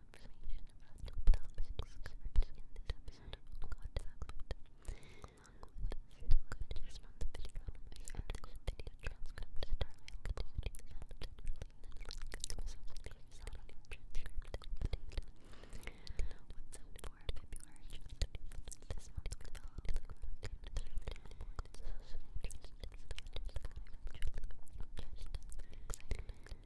information about the topics covered in this episode of Contact. Along with still images from the video numbers and the video transcripts that are available to you and generally the link to associated sound transcript the date. What's up for February 25th? This month we fell to the ground in the third and important social interests. It's the kind of children just excitement.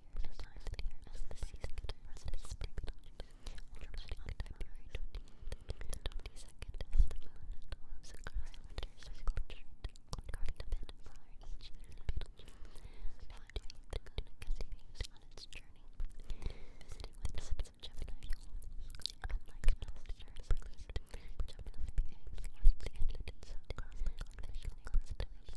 clear skies clear as the season turns to spring. Ultramatic on February 20th to 22nd as the moon moves across the winter circle guarding the bit for each Betelgeuse. Neptune continues on its journey, visiting with the sense of Gemini. Unlike most stars, Gemini behaves largely in its own cosmic conventionally constantly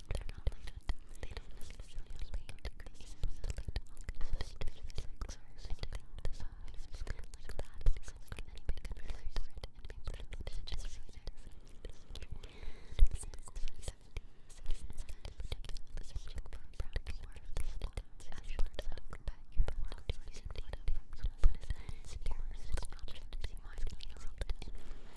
They're not like that. They don't necessarily relate to these specific topics or anything designs like that because anybody can relate to it and be part of it. Just so you know. Since 2017, Citizens started particularly searching for a practical word to support as well as look back your world to use in data from some place. Secure is an option to see my skin around it.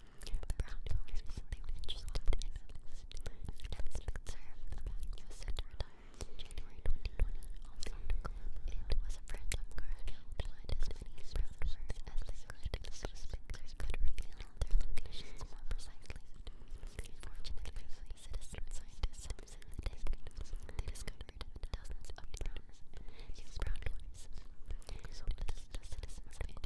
brown donors, they were interested in this. Dennis McServe, who was to retire the club. as many brown donors as they could to so Spixers could reveal their locations more precisely. citizen scientists in the they discovered dozens of browns, these brown donors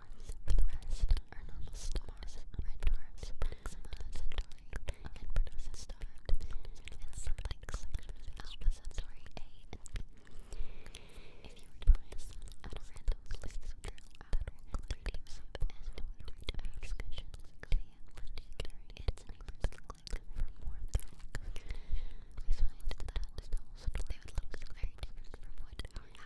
dwarfs, the rest are normal stars, red dwarfs, Proxima Centauri, and Producer and something like Alpha Centauri A If you were promised at a random place through our 3D find that the would look very different from what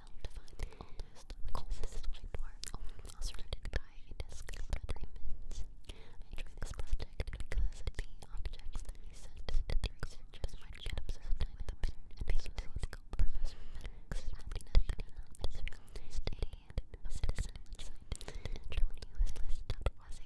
down to find the oldest, which is this white dwarf. I a desk of agreements. I joined this the objects that we sent the researchers and a telescope. Professor Max the National Israel State study suggested that the way of largest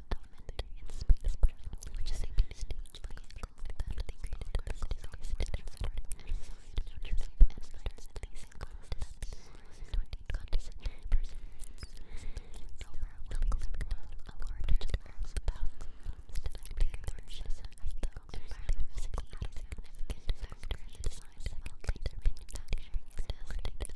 element in space, which is a new stage vehicle that they created at the city's August Observatory. Research and basic concepts, 20 condescending persons. Rover will be delivered on a large Earth thousand miles to the big version, though environment is a significant factor in the design of outlander manufacturing and estate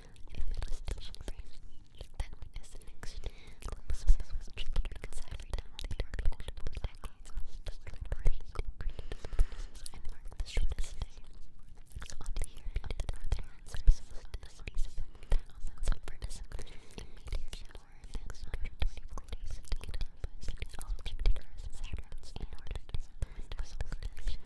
If it was still in frame, then witness the next closeness was triggered because every time they were multiple decades, the word brain created and marked the shortest day. On the year of the northern answers was the space of thousands of participants in meteor shower and 124 days to get up, all Jupiter's and Saturn's in order to find the